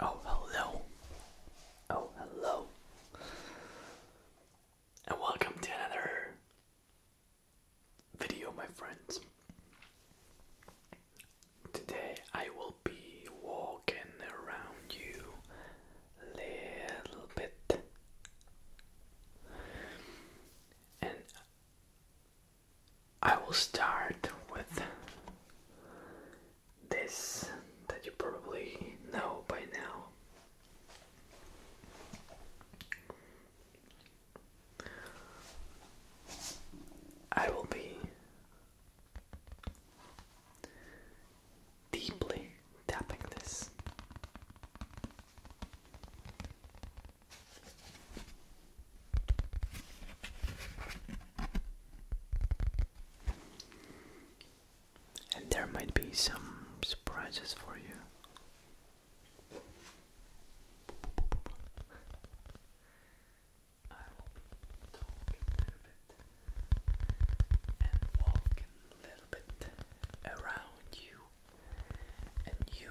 Oh, hello. Oh, hello. And welcome to another video, my friends. Today I will be walking around you a little bit. And I will start with this that you probably know by now. I will be deeply tapping this. And there might be some surprises for you. I will be a little bit and walking a little bit around you, and you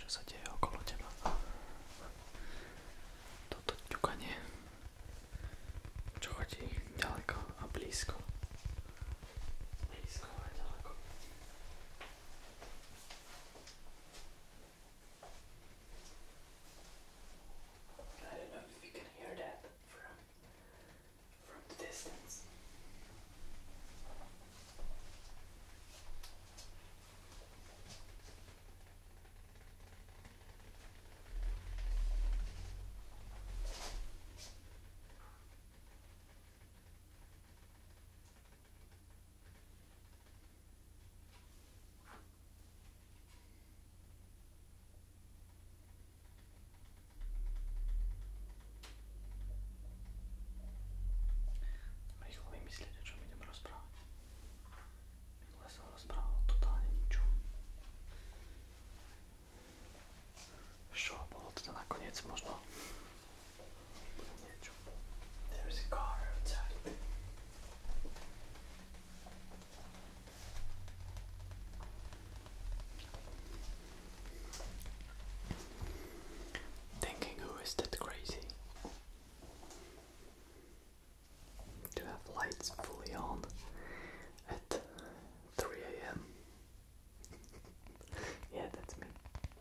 Čo sa deje okolo teba? Toto ťukanie, čo chodí ďaleko a blízko. Blízko a ďaleko. I don't know if you can hear that from from the distance. Rýchlo vymyslieť, o čom idem rozprávať. Minule som rozprával totálne ničom. Čo bolo teda nakoniec možno There's a car outside. Thinking, who is that crazy? To have lights fully on at 3 a.m. yeah, that's me.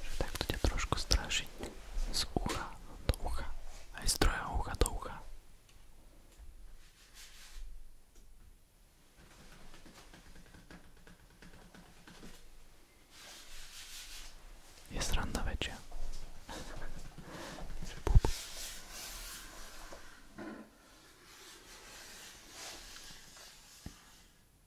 Že takto ťa trošku strašiť z ucha do ucha, aj z druhého ucha do ucha. Je sranda väčšia.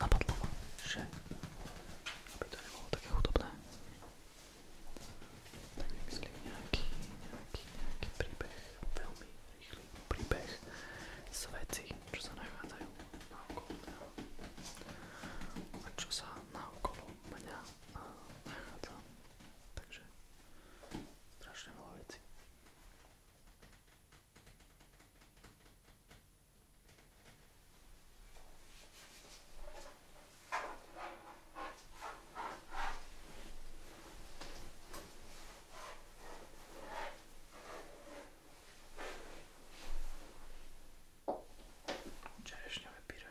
napadlo ma, že aby to nebolo také hudobné. Tak myslím nejaký, nejaký, nejaký príbeh, veľmi rýchly príbeh z vecí, čo sa nachádzajú na okolo mňa a čo sa na okolo mňa eh, nachádza. Takže Strašne veľa vecí. Čerešňové pyre.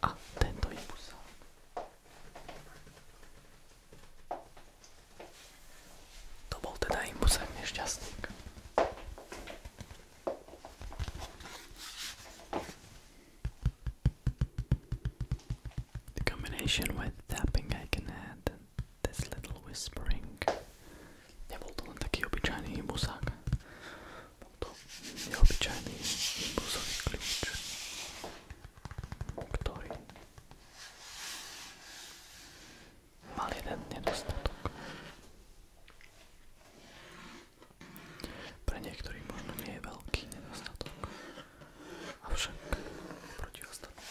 attento ah, il pulsante to bol teda imbusem nešťastník the combination with tapping I can add this little whispering Nebol to len taký obyčajný imbusák. Bol to neobyčajný imbusový kľúč, ktorý mal jeden nedostatok. Pre niektorých možno nie je veľký nedostatok, avšak proti ostatným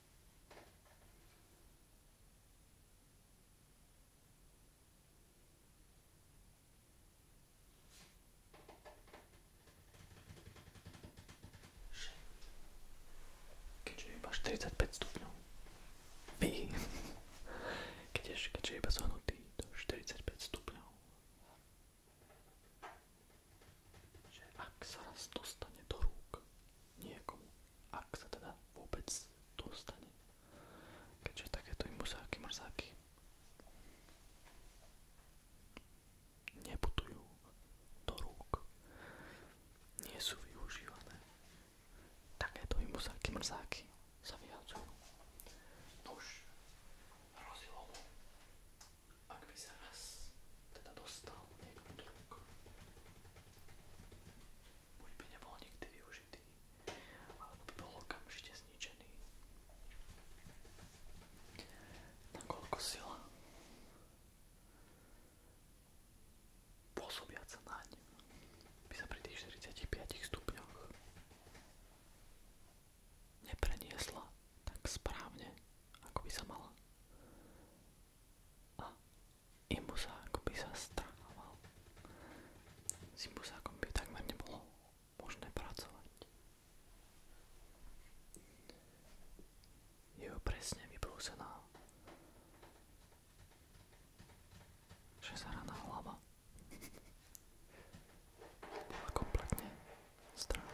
keďže je iba 45 stupňov. Pí. Keďže, keďže je iba zohnutý do 45 stupňov že ak sa raz dostane do rúk niekomu, ak sa teda vôbec dostane, keďže takéto imuzáky, mrzáky neputujú do rúk, nie sú využívané. Takéto imuzáky, mrzáky sa vyhádzajú. Nuž, hrozilo mu, ak by sa raz teda dostal niekto do rúk, buď by nebol nikdy využitý, alebo by bol okamžite zničený. Nakoľko sila pôsobiaca naň by sa pri tých 45 stupňoch nepreniesla tak správne, ako by sa mala a jemu sa akoby zastránoval. S imbuzákom by takmer nebolo možné pracovať. Je presne vybrúsená šesaraná hlava. Bola kompletne strana.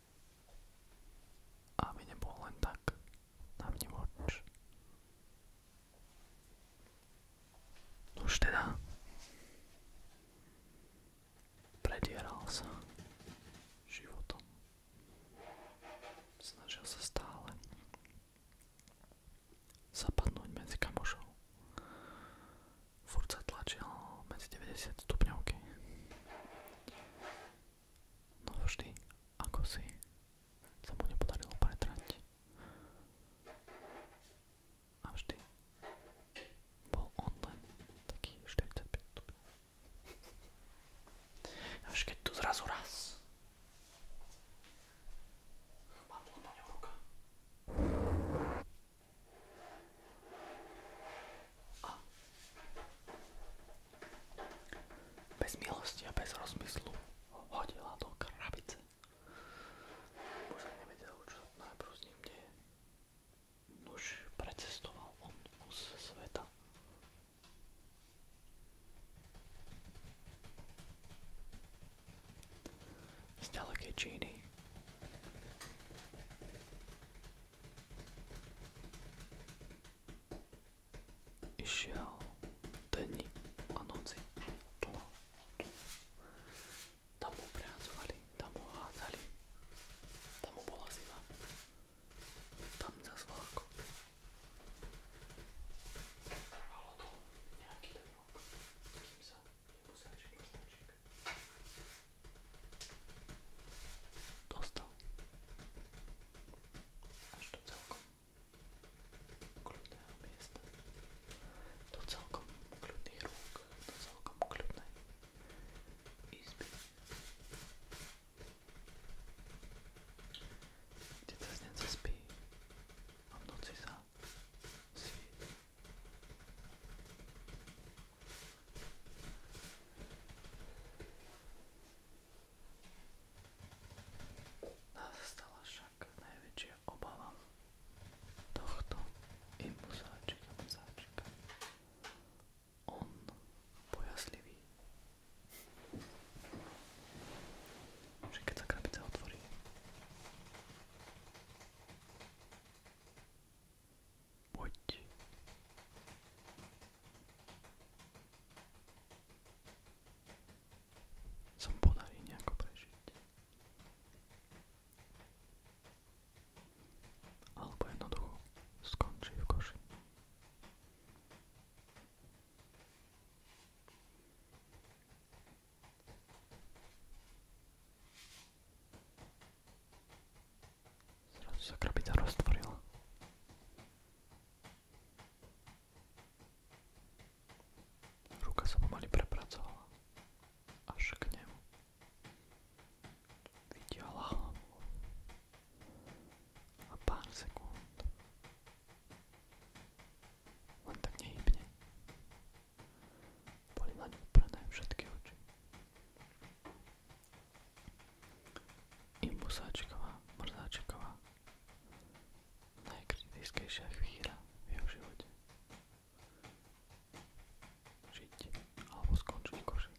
aby nebol len tak na mne voč. Už teda predieral sa životom. Snažil sa stále zapadnúť medzi kamošov furt sa tlačil medzi 90 stupňovky. No vždy, ako si sa mu nepodarilo pretrať. A vždy bol on len taký 45 stupňov. Až keď tu zrazu raz padla na ňu ruka. A bez milosti a bez rozmyslu ho hodila do krabice. Muž nevedel, čo najprv s ním deje. Nuž precestoval on kus sveta. Z ďalekej Číny išiel denní a noci. Tu. Tam mu pracovali, tam mu hádzali, tam mu bola zima, tam zas vláko. Trvalo to nejaký ten rok, kým sa nemusel čekať dostal až do celkom kľudného miesta, do celkom kľudných rúk, do celkom kľudnej izby, kde cez spí a v noci sa svieti. Nás stala však najväčšia obava tohto imbuzáčika, muzáčika. On bojaslivý. Že keď sa krabica otvorí, Poď. Som podarí nejako prežiť. Alebo jednoducho skončí v koši. Zrazu sa krabica roztvorila. Ruka sa pomaly prepracovala až k nemu. Videla hlavu a pár sekúnd len tak nehybne. Boli na ňu uprené všetky oči. Imbusáčková, Mrzáčková. Najkritickejšia chvíľa v jeho živote. Žiť alebo skončiť koši.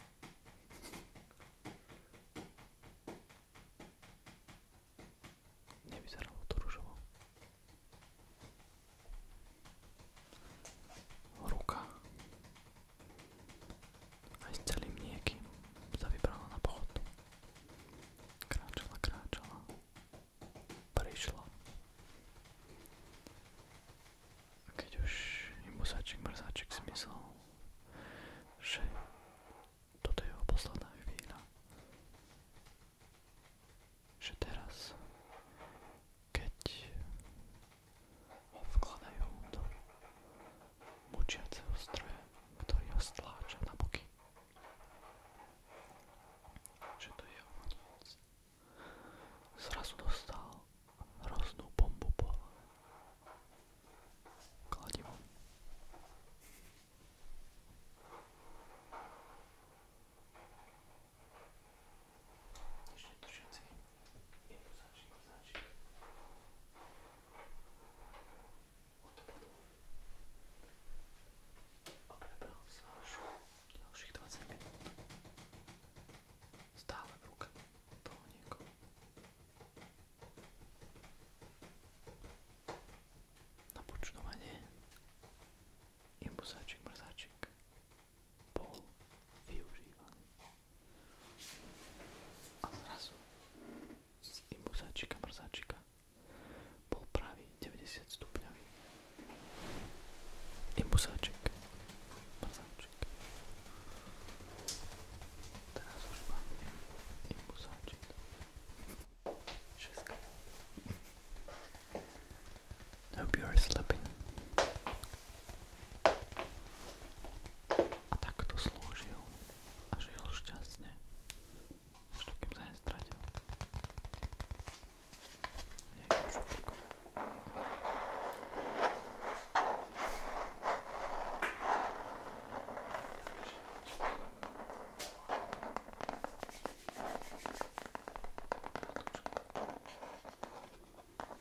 Nevyzeralo to ružovo. Ruka. Aj s celým niekým sa vybrala na pochod. Kráčala, kráčala. Prišla. A keď už imbusáčik, mrzáčik si myslel, že toto je jeho posledná chvíľa, že teraz keď vkladajú do mučiaceho stroja, ktorý ho stláča na boky. Že to je ono moc. Zrazu dostal hroznú bombu po kladivom. Ešte tu všetci. Idú začni, začni. Odpadol. Okrebral sa už ďalších 20 minút. Stále v ruke toho niekoho. Na počnovanie imbuzáčik, mrzáčik bol využívaný. A zrazu z imuzáčika mrzáčika bol pravý 90 stupňový. Imuzáčik, mrzáčik. Teraz už máme imuzáčik. Šestka. Hope you are sleeping. A tak to slúžil a žil šťastne. Až dokým sa nestratil. Nie, už Thank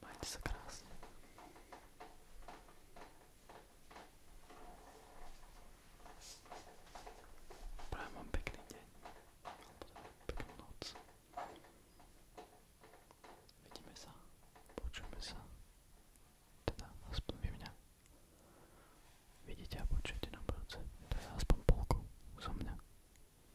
Majte sa krásne. Prajem vám pekný deň. Peknú noc. Vidíme sa. Počujeme sa. Teda aspoň vy mňa. Vidíte a počujete na budúce. Teda aspoň polku zo mňa.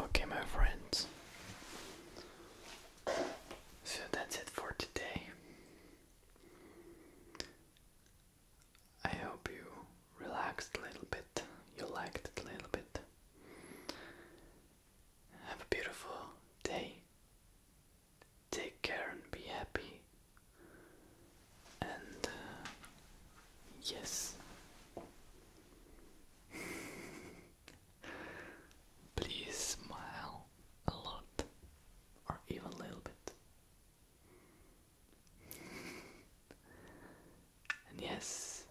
Okay, my friends, so that's it for today. I hope you relaxed a little bit you liked it a little bit. Have a beautiful day. Take care and be happy. And uh, yes. Please smile a lot or even a little bit and yes,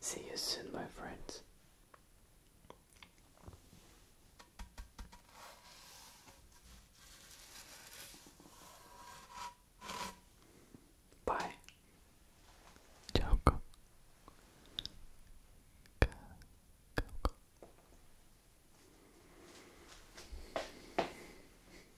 see you soon, my friends. Bye. Ciao.